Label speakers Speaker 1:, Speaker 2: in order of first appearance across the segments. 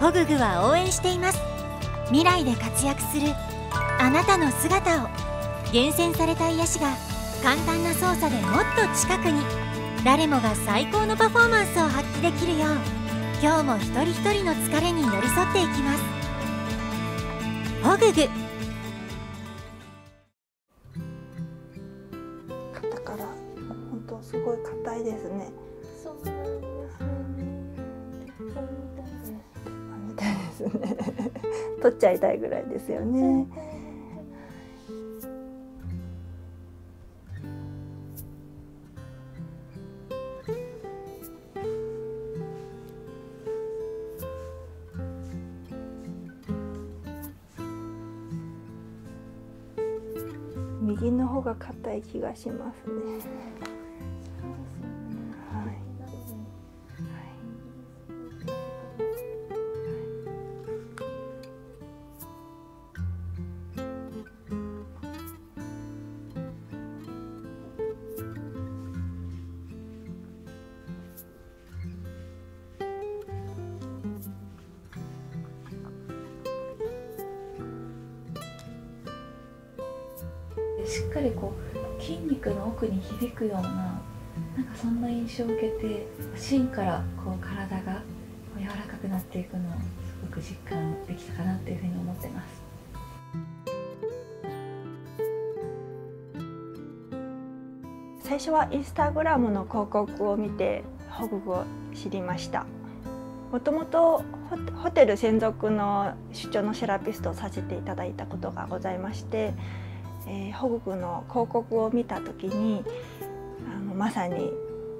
Speaker 1: ホググは応援しています未来で活躍するあなたの姿を厳選された癒しが簡単な操作でもっと近くに誰もが最高のパフォーマンスを発揮できるよう今日も一人一人の疲れに寄り添っていきますホググ
Speaker 2: 肩から本当すごい硬いですねそうなんですね。見たいですね。取っちゃいたいぐらいですよね。右の方が硬い気がしますね。はい。
Speaker 1: しっかりこう筋肉の奥に響くようななんかそんな印象を受けて芯からこう体が柔らかくなっていく
Speaker 2: のをすごく実感できたかなっていうふうに思ってます。最初はインスタグラムの広告を見て保護を知りましたもともとホテル専属の出張のセラピストをさせていただいたことがございまして、え保護区の広告を見た時にあのまさに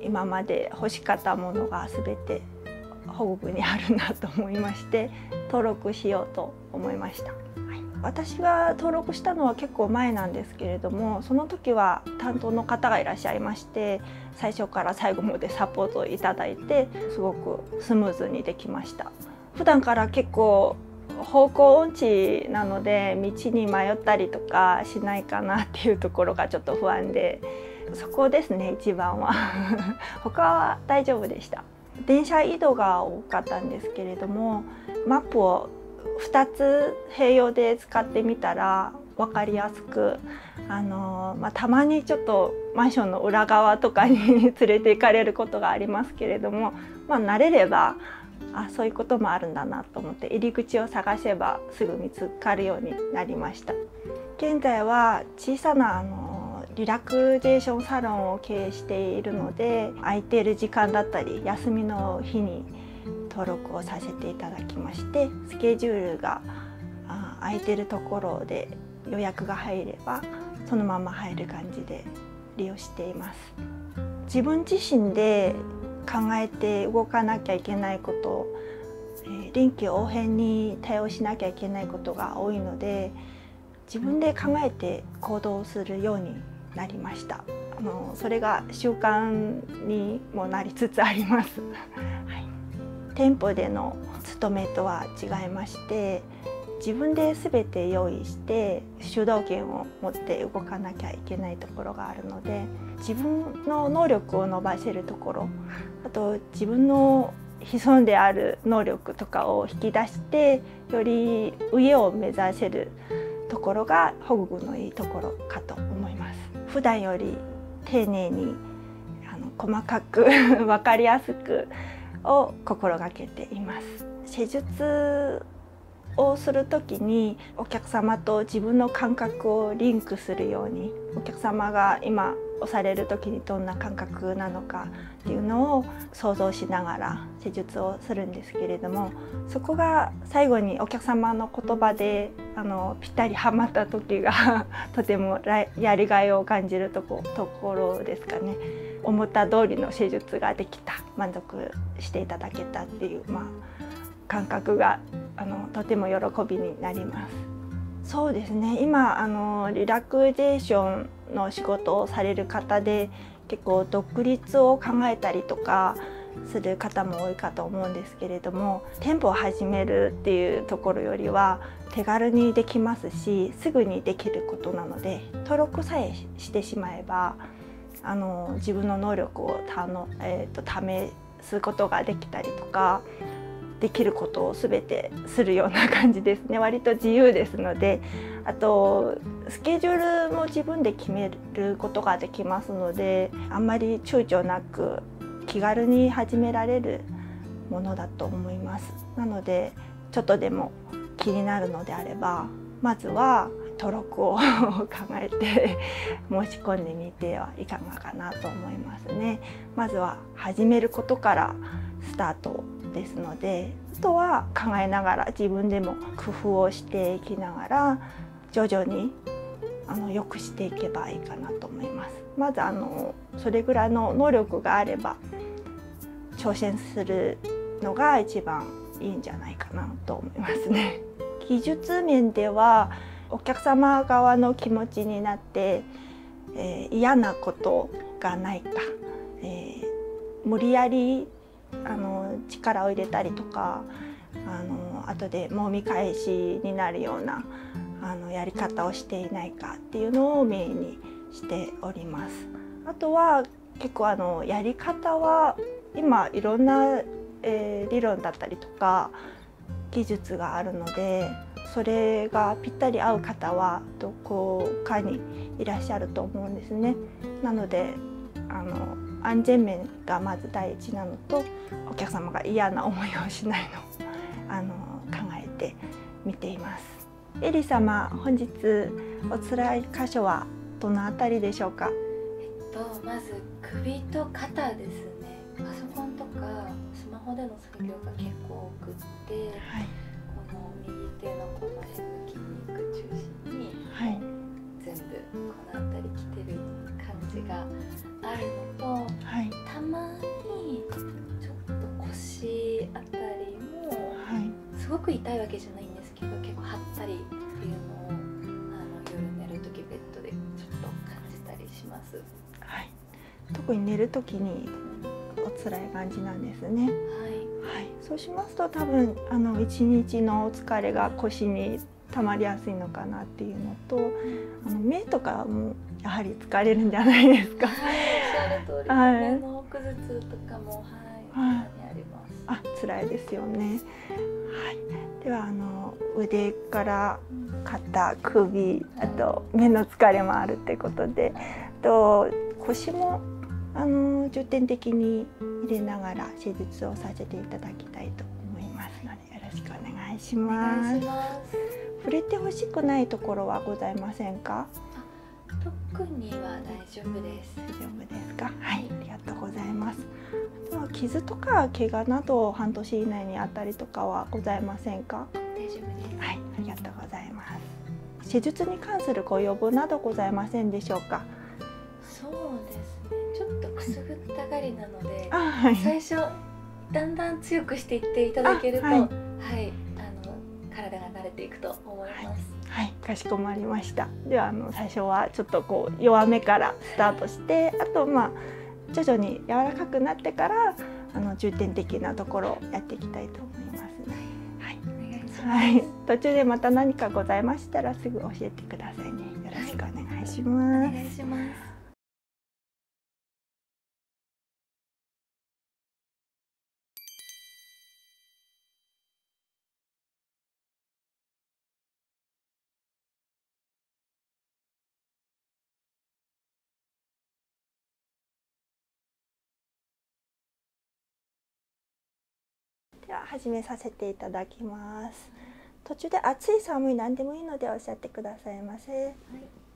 Speaker 2: 今まで欲しかったものが全て保護にあるなと思いまして登録しようと思いました、はい、私が登録したのは結構前なんですけれどもその時は担当の方がいらっしゃいましし最初から最後までサポートをいただいてすごくスムーズにできました普段から結構方向音痴なので道に迷ったりとかしないかなっていうところがちょっと不安でそこですね一番は 他は大丈夫でした電車移動が多かったんですけれどもマップを2つ併用使ってみたら分かりやすくあの、まあ、たまにちょっとマンションの裏側とかに 連れて行かれることがありますけれども、ま慣れればあそういうこともあるんだなと思って入り口を探せばすぐ見つかるようになりました現在は小さなあのリラクゼーションサロンを経営しているので空いている時間だったり休みの日に登録をさせていただきましてスケジュールがあ空いてるところで予約が入ればそのまま入る感じで利用しています自分自身で考えて動かなきゃいけないこと、えー、臨機応変に対応しなきゃいけないことが多いので自分で考えて行動するようになりましたあのそれが習慣にもなりつつあります。はい、店舗での勤めとは違いまして自分で全て用意して主導権を持って動かなきゃいけないところがあるので自分の能力を伸ばせるところあと自分の潜んである能力とかを引き出してより上を目指せるところが保護のいいところかと思います。普段より丁寧にあの細かく分 かりやすくを心がけています。施術をする時にお客様と自分の感覚をリンクするようにお客様が今押される時にどんな感覚なのかっていうのを想像しながら施術をするんですけれどもそこが最後にお客様の言葉であのぴったりはまった時が とてもやりがいを感じるとこところですかね思った通りの施術ができた満足していただけたっていう、まあ、感覚があのとても喜びになります。そうですね今あのリラクゼーションの仕事をされる方で結構独立を考えたりとかする方も多いかと思うんですけれども店舗を始めるっていうところよりは手軽にできますしすぐにできることなので登録さえしてしまえばあの自分の能力をたの、えーと試すことができたりとかできることを全てするような感じですね割と自由ですのであとスケジュールも自分で決めることができますのであんまり躊躇なく気軽に始められるものだと思いますなのでちょっとでも気になるのであればまずは登録を 考えて 申し込んでみてはいかがかなと思いますねまずは始めることからスタートですのであとは考えながら自分でも工夫をしていきながら徐々にあの良くしていけばいいかなと思いますまずあのそれぐらいの能力があれば挑戦するのが一番いいんじゃないかなと思いますね。技術面ではお客様側の気持ちになって、え嫌なことがないか、え無理やりあの力を入れたりとかあの後でもみ返しになるようなあのやり方をしていないかっていうのをメインにしております。あとは結構あのやり方は今いろんな、え理論だったりとか技術があるのでそれがぴったり合う方はどこかにいらっしゃると思うんですね。なのであの安全面がまず第一なのとお客様が嫌な思いをしないのあの考えてみています。エリ様本日お辛い箇所はどの辺りでしょうか。
Speaker 1: えっとまず首と肩ですね。パソコンとかスマホでの作業が結構多くって、この右手のこの辺の筋肉中心に、全部この辺り来てる感じが。あるのと、たまにちょっと腰あたりも、すごく痛いわけじゃないんですけど結構張ったりっていうのをあの夜寝
Speaker 2: る時ベッドでちょっと感じたりします。はい、特に寝る時にお辛い感じなんですね。はい、はい、そうしますと多分あの一日のお疲れが腰に溜まりやすいのかなっていうのとあの目とかもやはり疲れるんじゃないですか。はおっしゃる通り、はい、目
Speaker 1: 頭痛とかも
Speaker 2: はい、あります。あ辛いですよね。はい。ではあの腕から肩、首、あと目の疲れもあるってことで、と腰もあの重点的に入れながら施術をさせていただきたいと思いますので。よろしくお願いします。触れてほしくないところはございませんか？特には大丈夫です。大丈夫ですか？はい、ありがとうございます。あとは傷とか怪我など半年以内にあたりとかはございませんか？大丈夫です。はい、ありがとうございます。手術に関するご要望などございませんでしょうか？そうですね。ちょっとくすぐった
Speaker 1: がりなので、最初だんだ
Speaker 2: ん強くしていっていただけると、はい、あの
Speaker 1: 体が慣れていくと思います。
Speaker 2: はい、かしこまりました。ではあの最初はちょっとこう弱めからスタートして、あとまあ徐々に柔らかくなってからあの重点的なところをやっていきたいと思います、はい、お願いします。はい、途中でまた何かございましたらすぐ教えてくださいね。よ
Speaker 1: ろしくお願いします。お願いします。
Speaker 2: では始めさせていただきます途中で暑い寒い何でもいいのでおっしゃってくださいませ、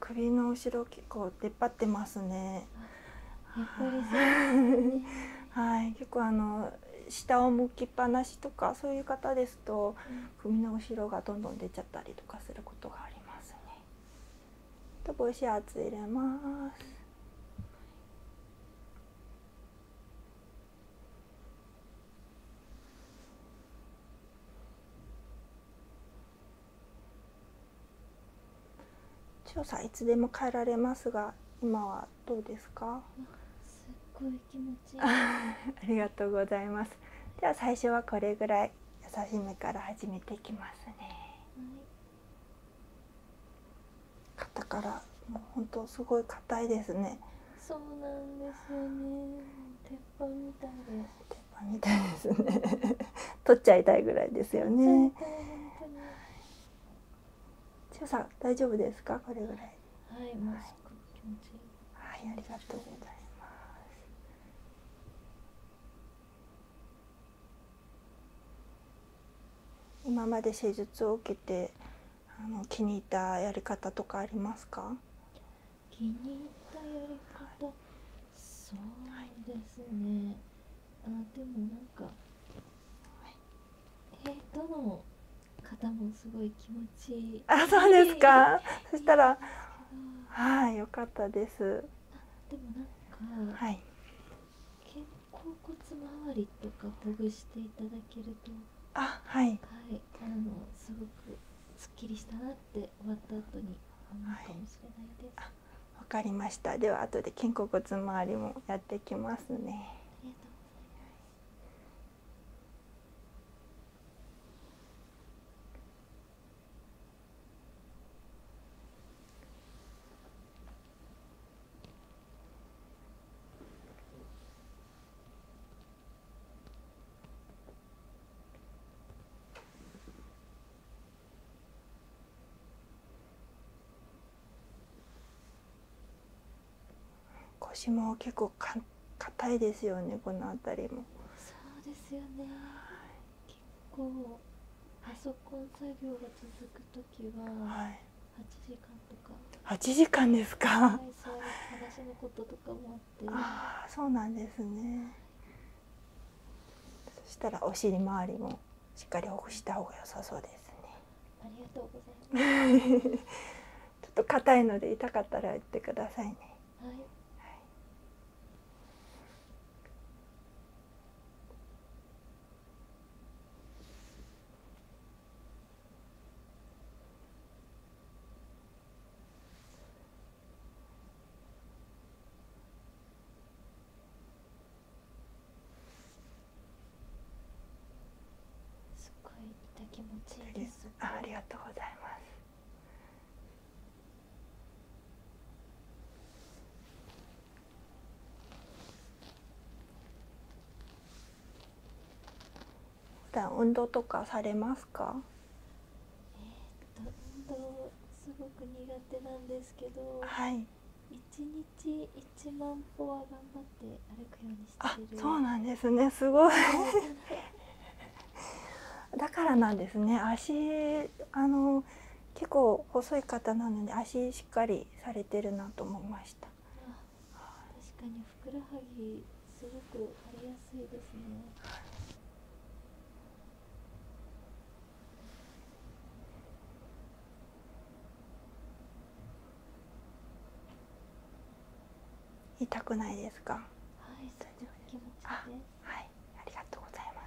Speaker 2: 首の後ろ結構出っ張ってますね。はい、結構あの下を向きっぱなしとかそういう方ですと、首の後ろがどんどん出ちゃったりとかすることがありますね。と帽子圧入れます。調査いつでも変えられますが今はどうですかすごい気持ち ありがとうございますでは最初はこれぐらい優しめから始めていきますね、はい、肩からもう本当すごい硬いですねそうなんで
Speaker 1: すよね
Speaker 2: 取っちゃいたいぐらいですよね大丈夫ですかこれぐらいはいもうす気持ちいい、はい、ありがとうございます今まで施術を受けてあの気に入ったやり方とかありますか気に入ったやり
Speaker 1: 方、そうですね、あでもなんか、は
Speaker 2: えどの方もすごい気持ちいいあそうですかそしたらはい良かったですでもなんか、はい、
Speaker 1: 肩甲骨
Speaker 2: 周りとかほぐ
Speaker 1: していただけるとあはい、はい、あのすごくすっきりした
Speaker 2: なって終わった後に思うかもしれないです。わ、かりました。では後で肩甲骨周りもやってきますね。腰も結構か硬いですよねこの辺りも
Speaker 1: そうですよね、結構パソコン作業が続く時
Speaker 2: は、はい、8時間と
Speaker 1: か8時間ですか、はい、そういう話のこととかも
Speaker 2: ああそうなんですねそしたらお尻周りもしっかりほぐした方が良さそうですね
Speaker 1: ありがとうご
Speaker 2: ざいますちょっと硬いので痛かったら言ってくださいねはい、はい、すごい痛気持ちいいですありがとうございます普段運動とかされますか
Speaker 1: えー、っと運動すごく苦手なんですけどはい一日一万歩は頑張って
Speaker 2: 歩くようにしてるあそうなんですねすごい だからなんですね足あの結構細い方なので足しっかりされてるなと思いました
Speaker 1: 確かにふくらはぎすごく腫れやすいですね、
Speaker 2: 痛くないですかは
Speaker 1: い大丈夫気持ちですはいありがとうございます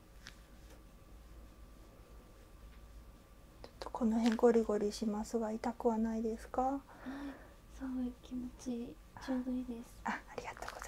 Speaker 2: ちょっとこの辺ゴリゴリしますが痛くはないですか、はい、すい気持ちいいちょうどいいで
Speaker 1: すあありがとうございます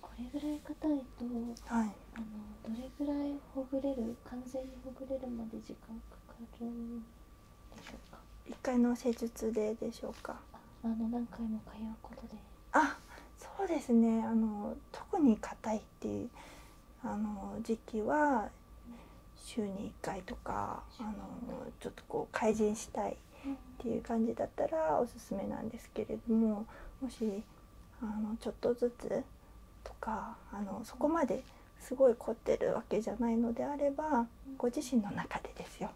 Speaker 1: これぐらい硬いと、あのどれぐらいほぐれる完全にほぐれるまで時間か
Speaker 2: かるん回の施術ででしょうかあの何回も通うことであそうですねあの特に硬いっあの時期は週に1回とかあのちょっとこう改善したいっていう感じだったらおすすめなんですけれどももしあのちょっとずつとかあのそこまですごい凝ってるわけじゃないのであればご自身の中でですよ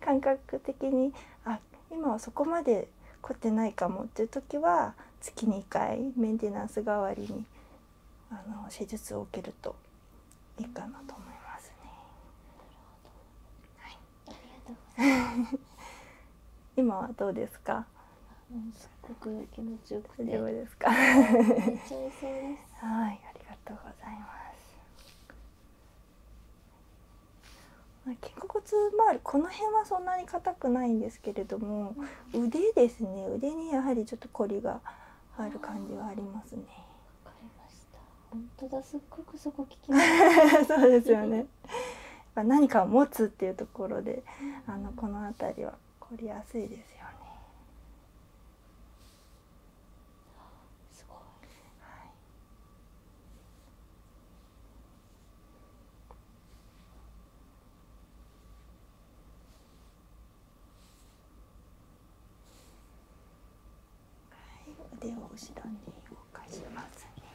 Speaker 2: 感覚的にあ今はそこまで凝ってないかもっていう時は月2回メンテナンス代わりにあの施術を受けるといいかなと思いますね。今はどうですか？すごく気持ちよくて。はい、ありがとうございます。肩甲骨周りこの辺はそんなに硬くないんです。ですけれども腕ですね腕にやはりちょっとこりがある感じはありますね。
Speaker 1: わかりました。本当
Speaker 2: だすっごくそこ聞きます。そうですよね。何かを持つっていうところで、あのこの辺りはこりやすいですよね。すごい。はい。はい、腕を後ろに動かしますね。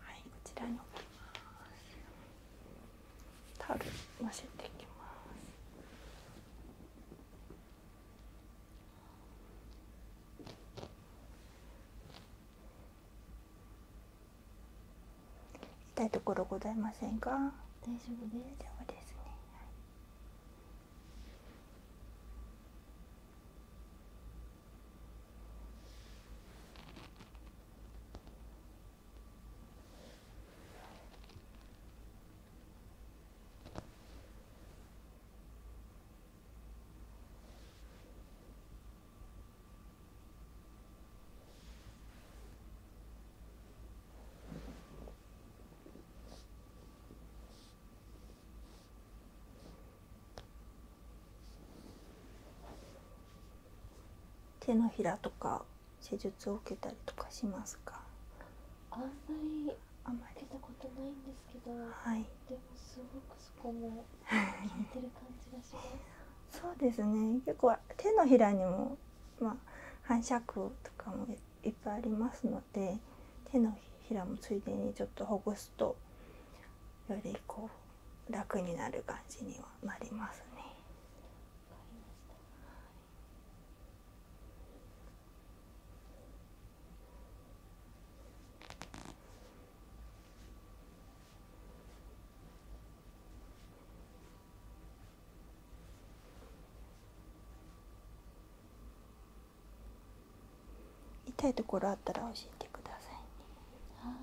Speaker 2: はい、こちらに置きます。タオル乗せていきます。行きたいところございませんか大丈夫です大丈夫ですね、はい、手のひらとか施術を受けたりとかしますかあんまり
Speaker 1: あまりたことないんですけど、はい、でもすごくそこも効いてる感じがします
Speaker 2: そうですね結構手のひらにも、まあ、反射区とかもいっぱいありますので手のひらもついでにちょっとほぐすとよりこう楽になる感じにはなりますね。痛いところあったら教えてくださいねはい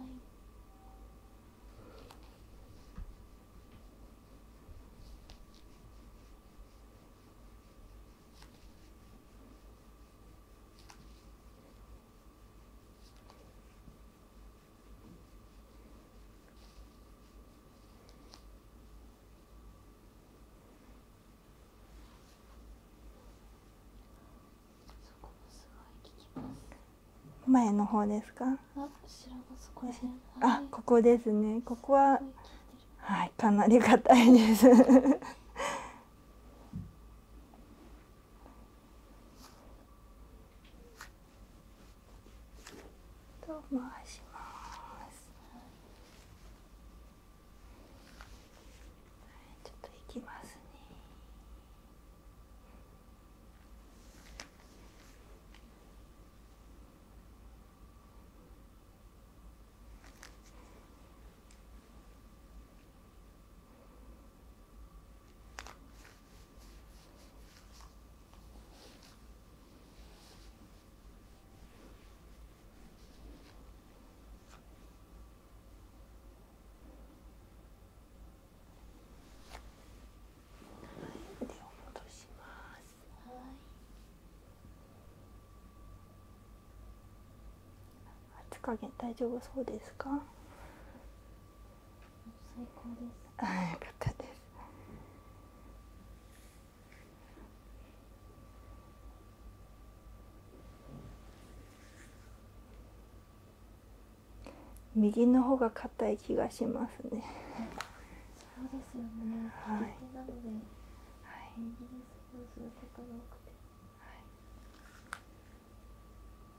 Speaker 2: 前の方ですか。あ、ここですね。ここは。はい、かなり硬いです。と回しまちょっといきますね腕を戻します。はい。熱加減大丈夫そうですか。最高です
Speaker 1: はい、よかったです
Speaker 2: 右の方が硬い気がしますね。そうですよね。はい。はい。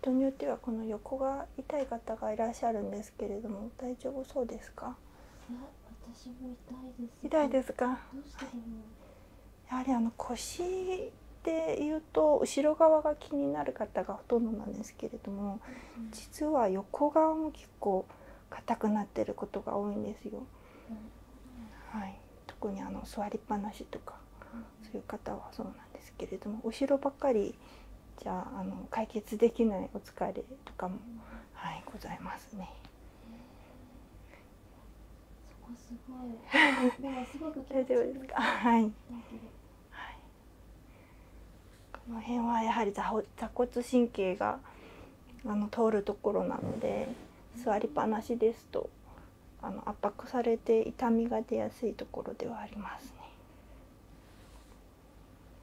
Speaker 2: 人によってはこの横が痛い方がいらっしゃるんですけれども大丈夫そうですか痛いです、か、やはりあの腰でいうと後ろ側が気になる方がほとんどなんですけれども、実は横側も結構硬くなってることが多いんですよ、はい、特にあの座りっぱなしとか、そういう方はそうなんですけれども後ろばっかりじゃああの解決できないお疲れとかも、はい、ございますね。こはい。はい。この辺はやはり坐骨神経があの通るところなので、座りっぱなしですとあの圧迫されて痛みが出やすいところではありますね。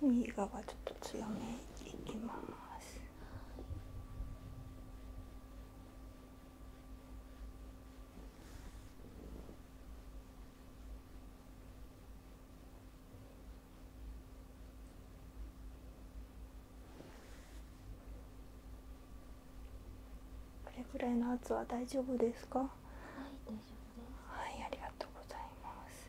Speaker 2: 右側ちょっと強めいきます。これぐらいの圧は大丈夫ですかはい大丈夫ですはいありがとうございます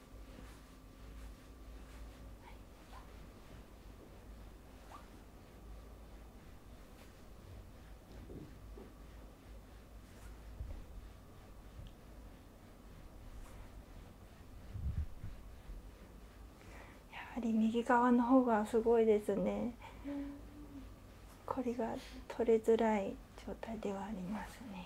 Speaker 2: はい。やはり右側の方がすごいですね。これが取れづらい状態ではありますね。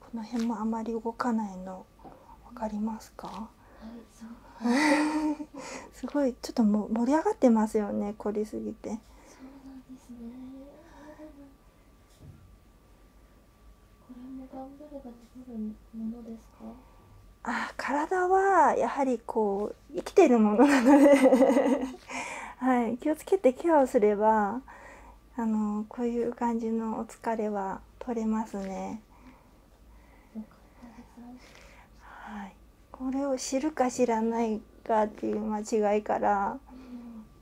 Speaker 2: この辺もあまり動かないの分かりますか すごいちょっとも盛り上がってますよね凝りすぎて。そう
Speaker 1: なんですねきるものですか
Speaker 2: あ体はやはりこう生きてるもの はい、気をつけてケアをすればあのこういう感じのお疲れは取れますね。はい、これを知るか知らないかっていう間違いから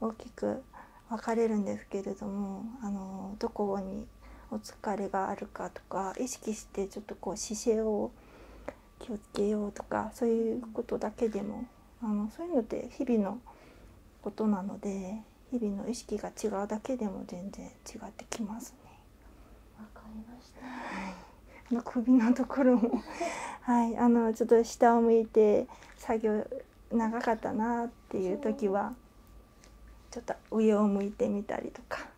Speaker 2: 大きく分かれるんですけれどもあのどこにお疲れがあるかとか意識してちょっとこう姿勢を気をつけようとかそういうことだけでもあのそういうのって日々のことなので日々の意識が違うだけでも全然違ってきますね。わかりました。はい、あの首のところも はいあのちょっと下を向いて作業長かったなっていう時はちょっと上を向いてみたりとか。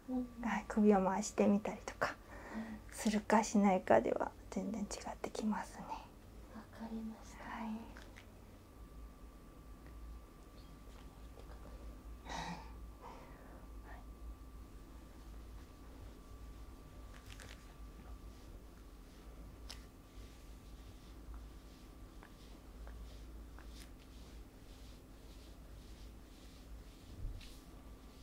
Speaker 2: 首を回してみたりとかするかしないかでは全然違ってきますね。わか
Speaker 1: りました、はいはい、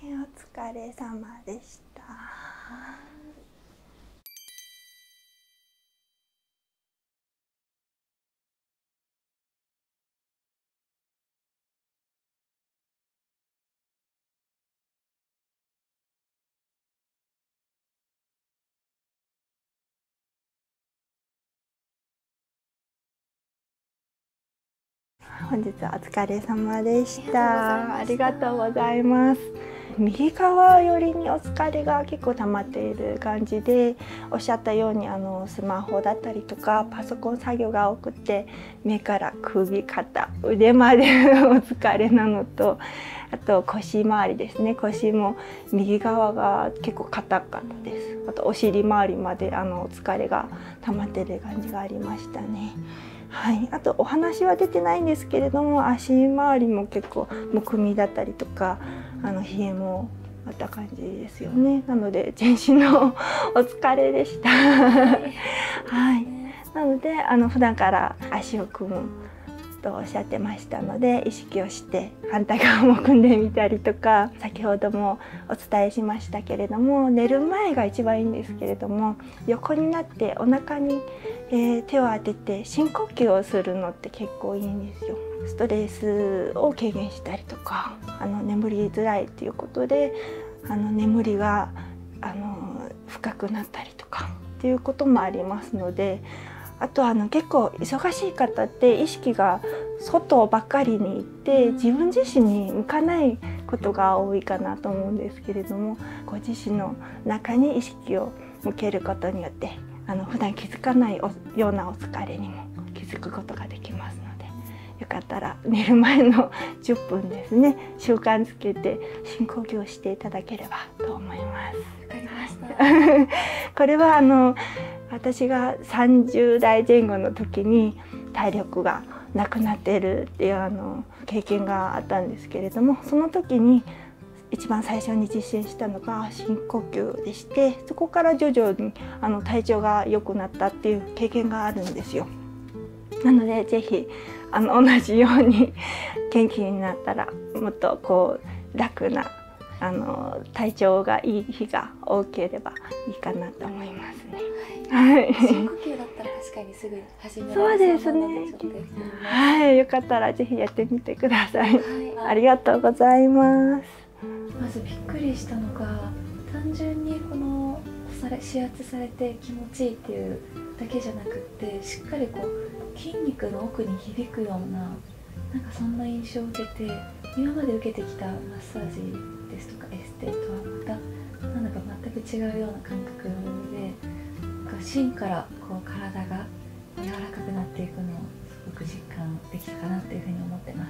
Speaker 2: はい、お疲れ様でした。本日はお疲れ様でした。ありがとうございます。右側寄りにお疲れが結構溜まっている感じでおっしゃったようにあのスマホだったりとかパソコン作業が多くて目から首肩腕までお疲れなのとあと腰回りですね腰も右側が結構硬かったですあとお尻周りまであの疲れが溜まってる感じがありましたね。はい、あとお話は出てないんですけれども足周り結構むくみだったりとかあの冷えもあった感じですよねなので全身のお疲れでした はいなのであの普段から足を組むとおっしゃってましたので意識をして反対側も組んでみたりとか先ほどもお伝えしましたけれども寝る前が一番いいんですけれども横になってお腹に、え手を当てて深呼吸をするのって結構いいんですよ。ストレスを軽減したりとかあの眠りづらいっていうことであの眠りがあの深くなったりとかっていうこともありますのであとあの結構忙しい方って意識が外ばっかりに行って自分自身に向かないことが多いかなと思うんですけれどもご自身の中に意識を向けることによってあの普段気づかないようなお疲れにも気づくことができますのでよかったら寝る前の10 分ですね習慣つけて深呼吸をしていただければと思います。これはあの私が30代前後の時に体力がなくなってるっていうあの経験があったんですけれどもその時に一番最初に実践したのが深呼吸でしてそこから徐々にあの体調が良くなったっていう経験があるんですよ。なので是非あの同じように元気になったらもっとこう楽なあの体調がいい日が多ければいいかなと思いますね。はい。深呼
Speaker 1: 吸だったら確かにすぐそうですね。
Speaker 2: はい、よかったらぜひえてみてください、はありがとうございます
Speaker 1: まずびっくりしたのが単純にこのされ指圧されて気持ちいいっていうだけじゃなくってしっかりこう筋肉の奥に響くようななんかそんな印象を受けて今まで受けてきたマッサージですとかエステとはまたなんだか全く違うような感覚でな芯からこう体が柔らかくなっていくのをすごく実感できたかなっていうふうに思ってます。